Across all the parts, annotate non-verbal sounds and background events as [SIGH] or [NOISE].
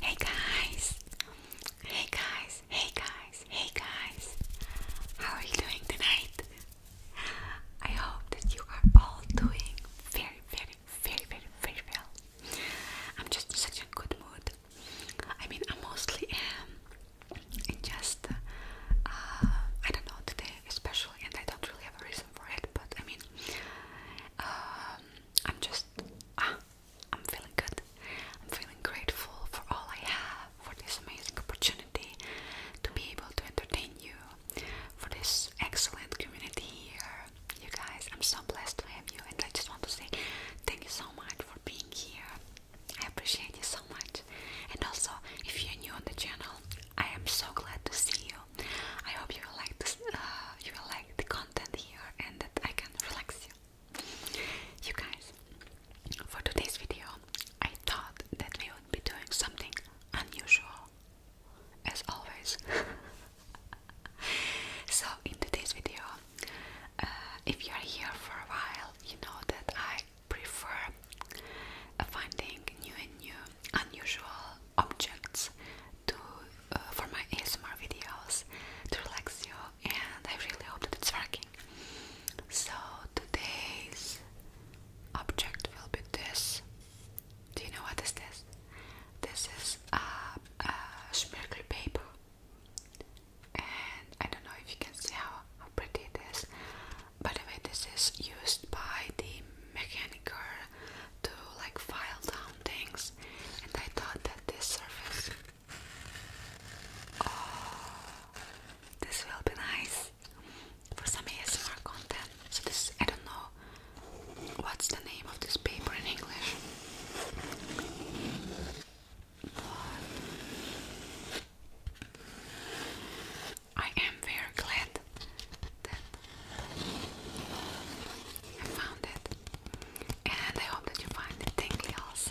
Hey guys! Hey guys! Hey guys! Hey guys! How are you doing tonight? I hope that you are all doing very, very, very, very, very well. I'm just in such a good mood. I mean, I mostly am. And just, uh, I don't know, today especially, and I don't really have a reason for it, but I mean, um, I'm just ah, I'm feeling good. I'm feeling grateful for all I have, for this amazing opportunity to be able to entertain you, for this excellent community here. You guys, I'm so blessed to have you, and I just want to say thank you so much for being here. I appreciate you so much. And also, if you're new on the channel, I am so glad to see you. I hope you will like this, uh, you will like the content here and that I can relax you. You guys, for today's video, I thought that we would be doing something unusual, as always. [LAUGHS] so in today's video, uh, if you are here for a while, you know that I prefer uh, finding new and new unusual objects uh, for my ASMR videos to relax you, and I really hope that it's working. So today's object will be this. Do you know what is this? This is a, a paper, and I don't know if you can see how, how pretty it is. By the way, this is used by the mechaniker to like file down things, and I thought that this surface, oh, this will be nice for some ASMR content. So this, I don't know what's the name of this paper in English. I am very glad that I found it, and I hope that you find it tingly also.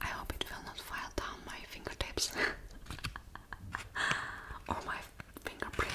I hope it will not file down my fingertips [LAUGHS] or my fingerprints.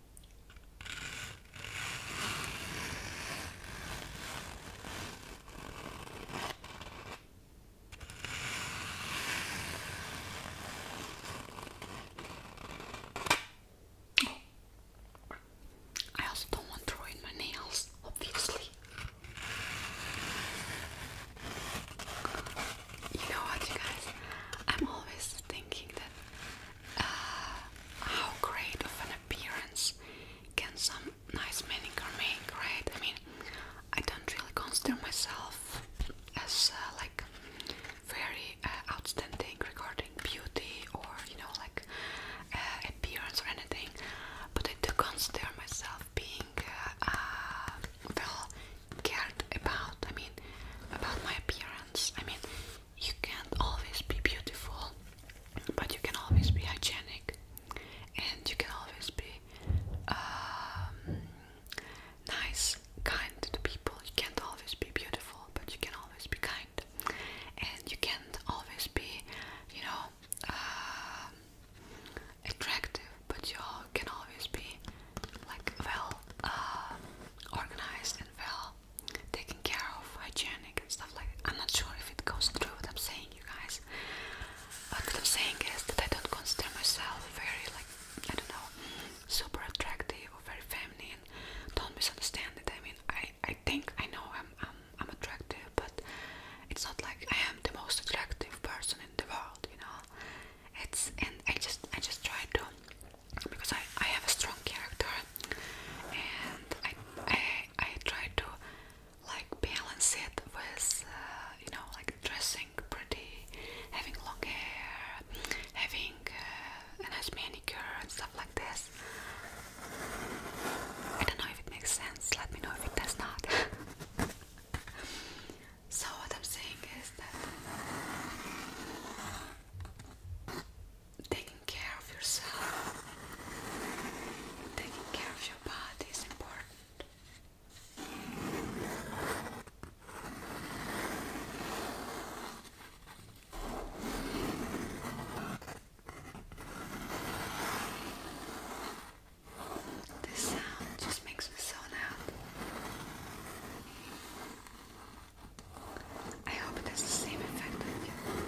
I also don't want to my nails, obviously. You know what, you guys? I'm always thinking that uh, how great of an appearance can some nice manicure make, right? I mean, I don't really consider myself as uh, like very uh, outstanding regarding beauty or you know like appearance or anything, but I do consider myself being well cared about. I mean, about my appearance. I mean, you can't always be beautiful, but you can always be hygienic, and you can always be um, nice, kind to people. You can't always be beautiful, but you can always be kind, and you can't always be, you know, um, attractive, but you can always be like well uh, organized and well taken care of, hygienic and stuff like I'm not sure if it goes through what I'm saying, you guys. what I'm saying is that I don't consider myself very like I don't know super attractive or very feminine. Don't misunderstand it. I mean I I think I know I'm I'm I'm attractive, but it's not like I am the most attractive person in the world, you know. It's and I just I just try to because I, I have a strong character and I, I, try to like balance it with uh, you know like dressing pretty, having long hair, having uh, a nice manicure and stuff like this. I don't know if it makes sense, let me know if it does not. [LAUGHS] So, what I'm saying is that taking care of yourself, taking care of your body is important. This sound just makes me so loud. I hope it has the same effect on you.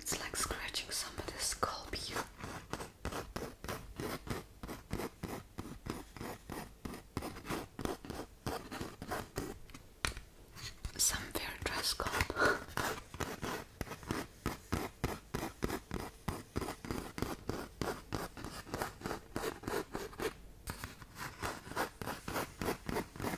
It's like scratching somebody's scalp here. Some very dry scalp. [LAUGHS]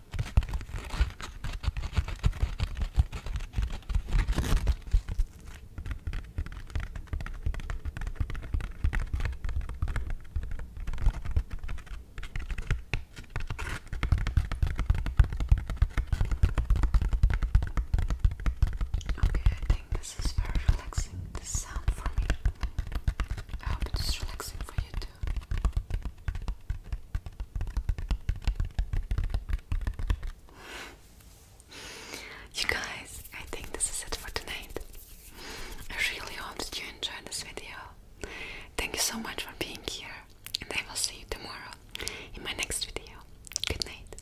Okay, I think this is very relaxing. This sound for me. I hope relaxing for you too. You guys, I think this is it for tonight. I really hope that you enjoyed this video. Thank you so much for being here, and I will see you tomorrow in my next video. Good night,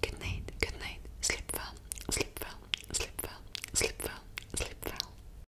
good night, good night. Sleep well, sleep well, sleep well, sleep well, sleep well.